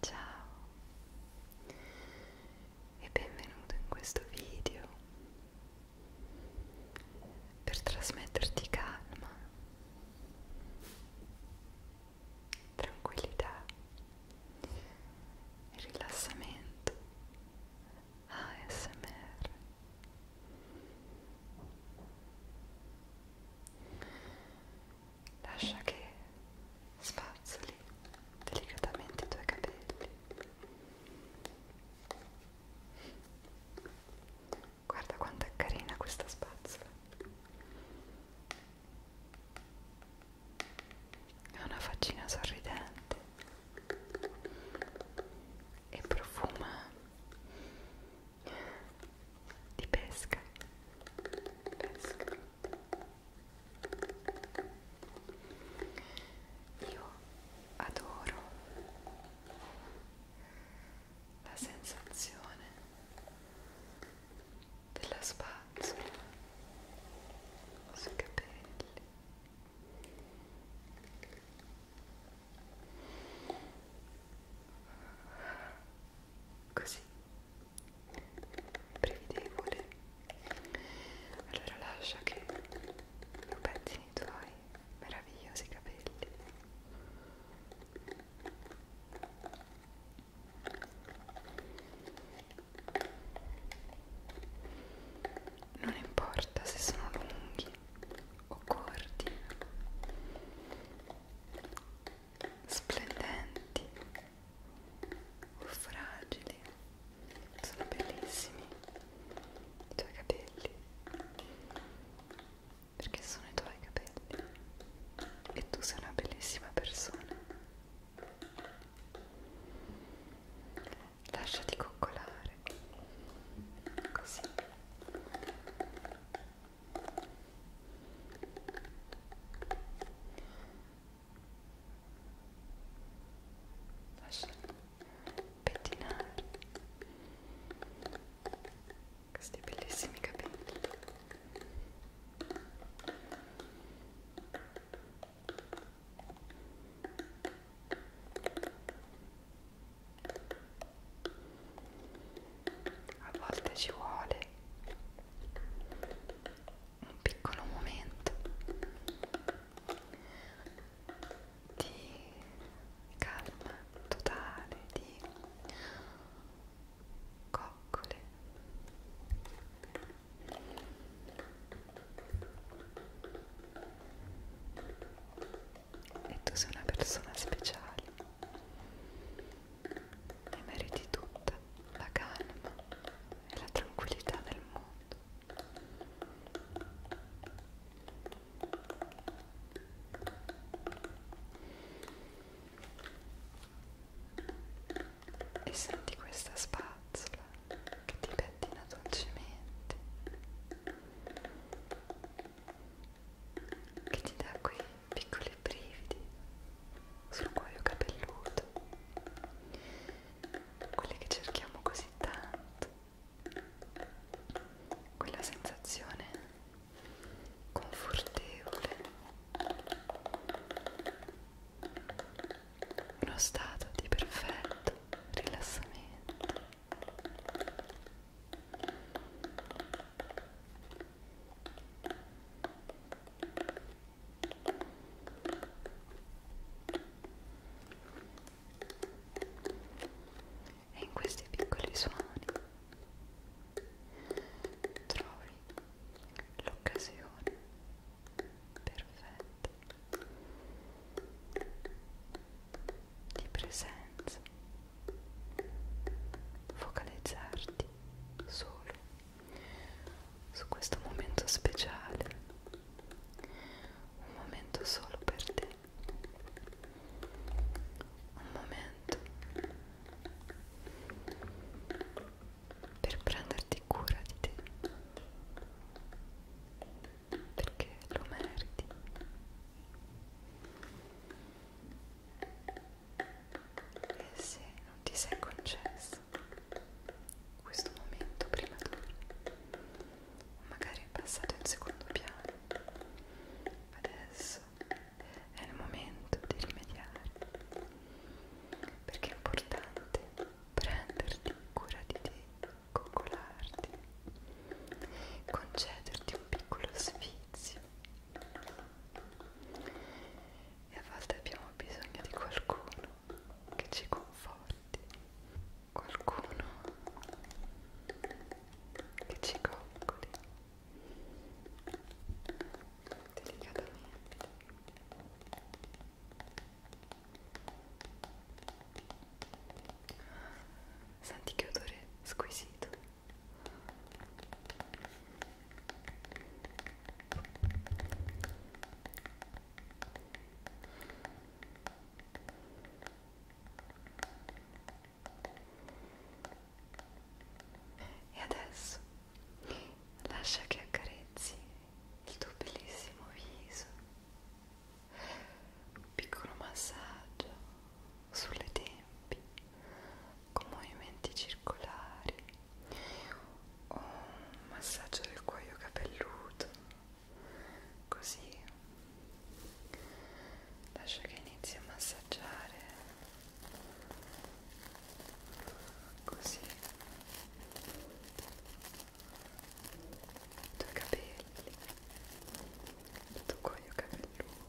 Ciao e benvenuto in questo video per trasmetterti calma, tranquillità e rilassamento ASMR lascia che spazzoli delicatamente i tuoi capelli. Guarda quanto è carina questa spazzola. Ha una faccina sorridente e profuma di pesca. pesca. Io adoro la sensazione della spazzola sui capelli. Così prevedevole allora lascia che mi pettini i tuoi meravigliosi capelli non importa se sono lunghi o corti splendenti o fragili sono bellissimi i tuoi capelli perché sono i tuoi capelli e tu sei una bellissima persona lasciati coccolare così lascia pettinare questi bellissimi capelli a volte ci vuole un piccolo momento di calma totale, di coccole e tu sei una persona speciale ti meriti tutta la calma e la tranquillità del mondo. E senti questa spazzola che ti pettina dolcemente, che ti dà quei piccoli brividi sul cuoio capelluto, quelli che cerchiamo così tanto, quella sensazione confortevole, uno stato di perfetto rilassamento. E in questi piccoli suoni trovi l'occasione perfetta di presenza focalizzarti solo su questo momento speciale, un momento solo per te, un momento per prenderti cura di te, perché lo meriti e eh se non ti sei concesso questo momento prima d'ora magari è passato in secondo piano adesso è il momento di rimediare perché è importante prenderti cura di te coccolarti concederti un piccolo sfizio e a volte abbiamo bisogno di qualcuno che ci conforti, qualcuno che ci coccoli delicatamente. Senti che odore squisito. E adesso lascia che accarezzi il tuo bellissimo viso, un piccolo massaggio sulle tempie con movimenti circolari o un massaggio del cuoio capelluto così lascia che inizi a massaggiare così i tuoi capelli il tuo cuoio capelluto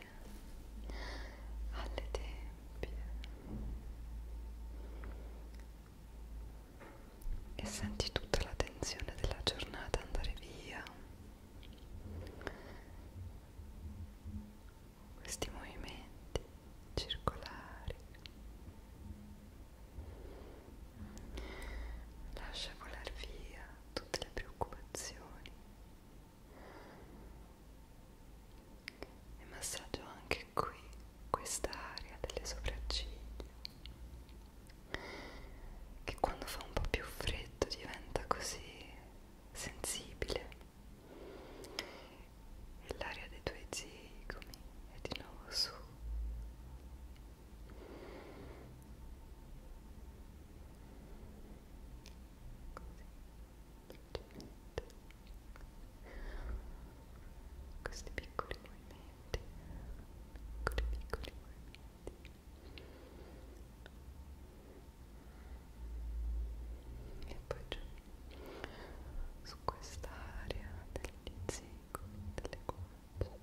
sempre alle tempie e senti tutta la tensione della giornata andare via questi movimenti circolari lascia volar via tutte le preoccupazioni e massaggio anche qui questa area delle sopracciglia che quando fa un po' più freddo diventa così sensibile e l'area dei tuoi zigomi è di nuovo su Così questi piccoli movimenti piccoli piccoli movimenti e poi giù su quest'area degli zigomi delle guance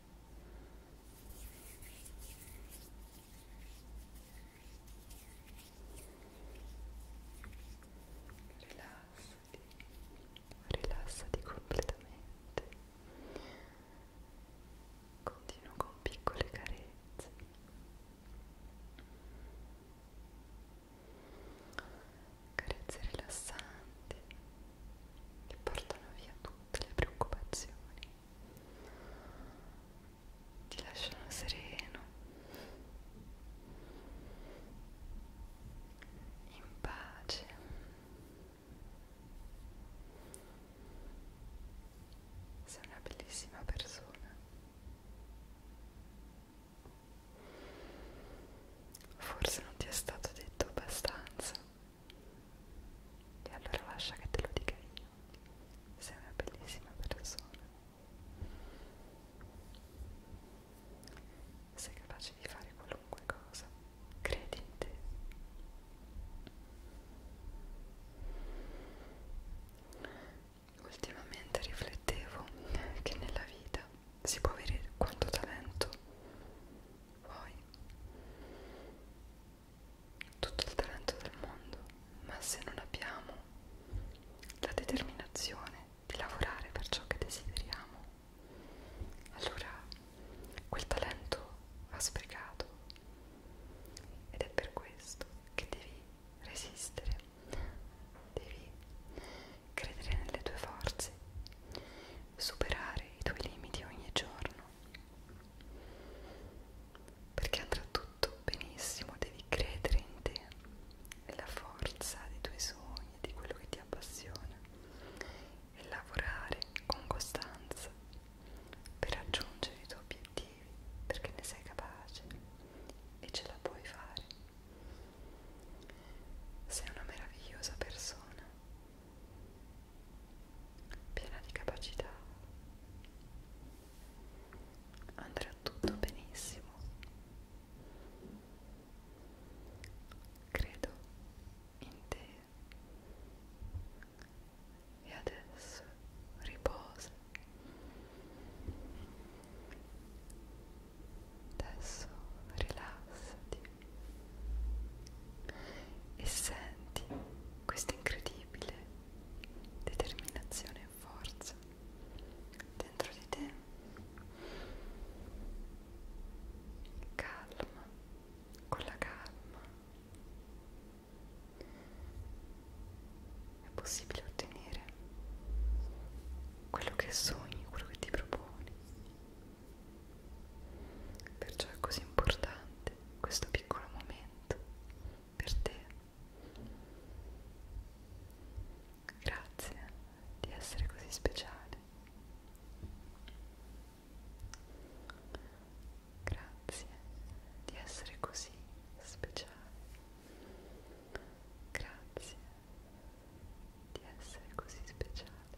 rilassati rilassati completamente continuo con piccole carezze carezze rilassanti che portano via tutte le preoccupazioni ti lasciano sereno, in pace. Sei una bellissima persona. Forse non ti è stato detto abbastanza. E allora lascia che te lo dica io. Sei una bellissima persona. Sei capace di fare qualunque cosa. Credi in te. Ultimamente riflettevo che nella vita si può avere quanto talento vuoi tutto il talento del mondo, ma se non abbiamo la determinazione di lavorare per ciò che desideriamo, allora quel talento va sprecato ed è per questo che devi resistere, devi credere nelle tue forze, superare i tuoi limiti ogni giorno perché andrà tutto benissimo, devi credere in te, nella forza dei tuoi sogni, di quello che ti appassiona e lavorare con costanza per raggiungere i tuoi obiettivi, perché ne sei capace e ce la puoi fare. Sei una meravigliosa persona piena di capacità andrà tutto benissimo credo in te e adesso riposa adesso rilassati e senti questa incredibile determinazione e forza dentro di te calma con la calma è possibile ottenere quello che sogni quello che ti proponi Perciò è così importante questo piccolo momento per te. Grazie di essere così speciale. Grazie di essere così speciale. Grazie di essere così speciale.